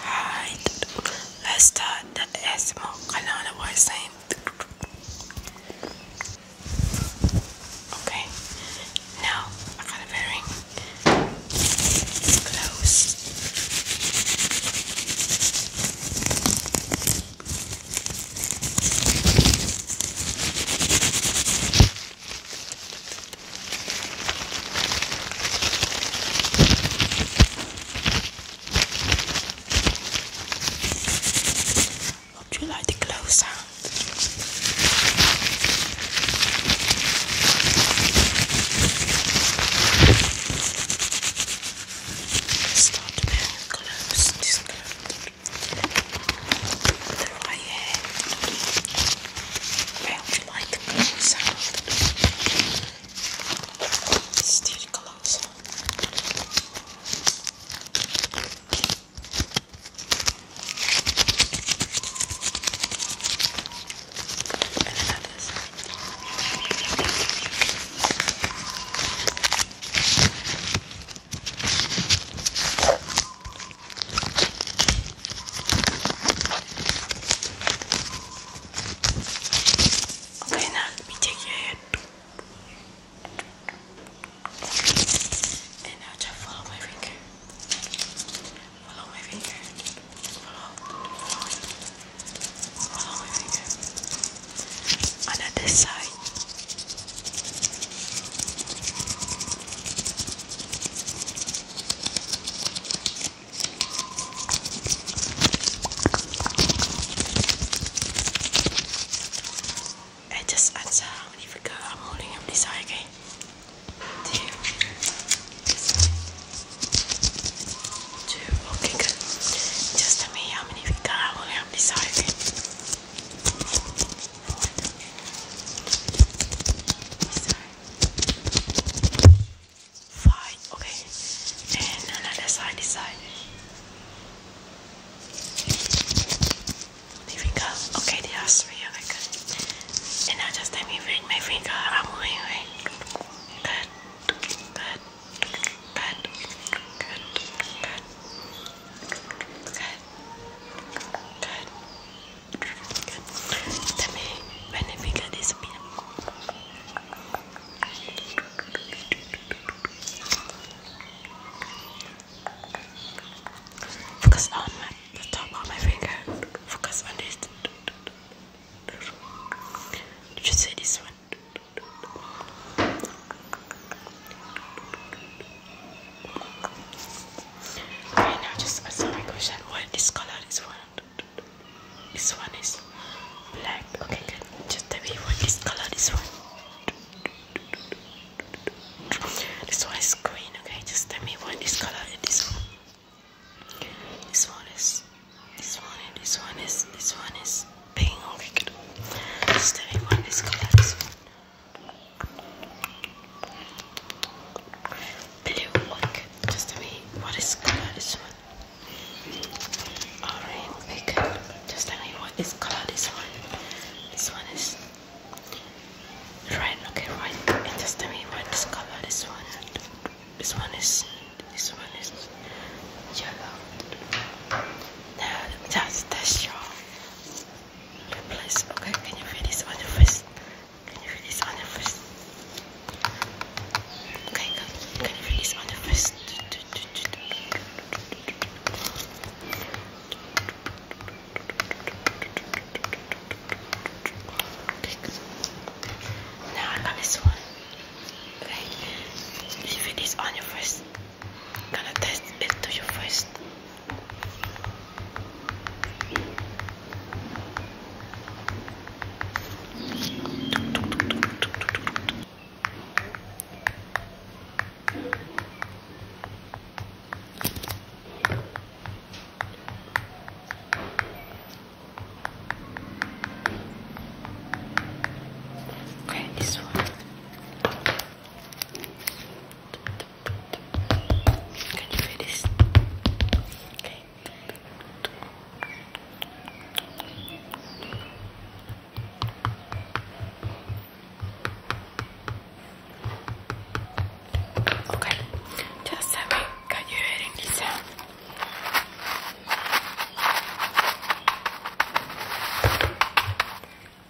Hi, let's start the ASMR Kalana voice name. Okay, now I got a bearing. Close. Hope you like the glow sound. Start to close, just close through my hair round like a sound. Still close. And another side. Okay, now let me And now just follow my finger. Follow my finger. Follow. my finger. on this side. I just answer how many figure I'm holding on this side, okay? Two. This Two. Okay, good. Just tell me how many figure I'm holding on this side, okay? Five, okay. And another side, side. There we go. Okay, there are three. Okay, good. And now just let me ring my finger. Good, good, good, good, good, good. Good. Good. También beneficia de Focus on my, the top my finger. Focus on this. Did you see this one? Okay, now just answer my question. What this color is one? This one is black. Okay, good. Just tell me what this color is one. This one is green. Okay, just tell me what this color is this one. This one is. This one and this one is. This one is pink. Stevie Wonder's got this one. Blue, look, just to me, what is color this one? Orange, big. Just tell me what is color this one. This one is red, okay, right. And just tell me what is color this one. This one is, this one is yellow. Now that's the shawl. Replace. Okay, can you feel this on your face? Can you feel this on your face? Okay, can you feel this on your face? Now I got this one right? Leave it is on your first. Gonna test it to you first. Okay, this one. Can you feel this? Okay. Okay, just tell me, can you hear any sound?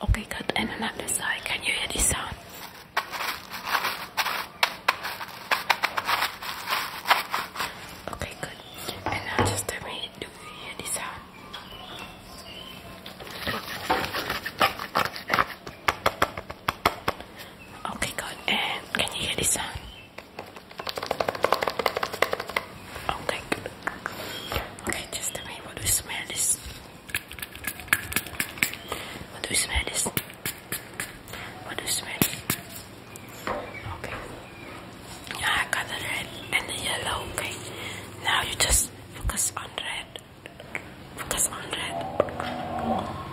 Okay, good. And on the side, can you hear this sound? Okay, good. And now just tell me, do you hear this sound? Okay, good. And can you hear this sound? Okay, oh, Okay, just tell me what do you smell this? What do you smell this? What do you smell? Okay. I got the red and the yellow, okay. Now you just focus on red. Focus on red.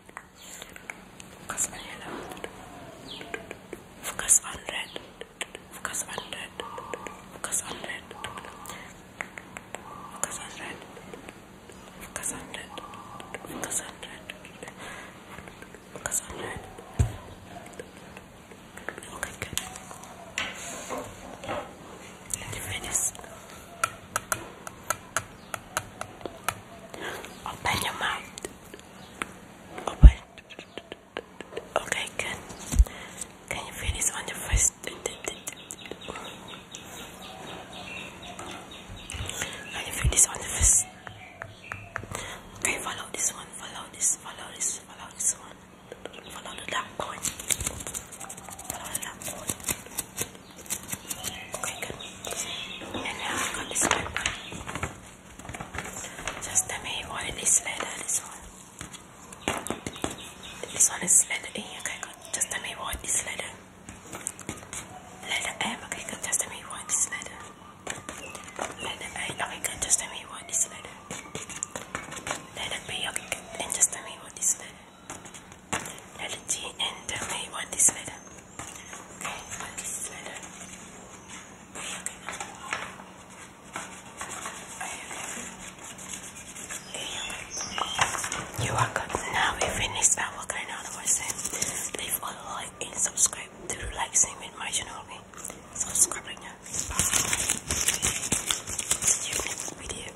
Focus on yellow. Focus on red. Focus on red. Focus on red. Focus on red. Focus on red. Focus on red. Focus on red. Okay, good. Let me finish. Open your mouth. Okay, good. Can you feel this on your face? Can you feel this on your face? Okay, follow this one. Follow this. Follow this. Follow this one. Follow the dark Follow the dark Okay, good. And now i got this paper. Just tell me what this letter, this one. This one is letter E, okay, good. Just tell me this letter. Letter M, okay, good. Just tell me what is letter. Letter A, okay, good. Just tell me what is letter. Letter B, okay, good. And just tell me what is letter allergy and this letter. Okay, want this letter. Okay, you are good. Now we finish our granola version. Leave a like and subscribe to relaxing with my channel. Okay? Subscribe next video.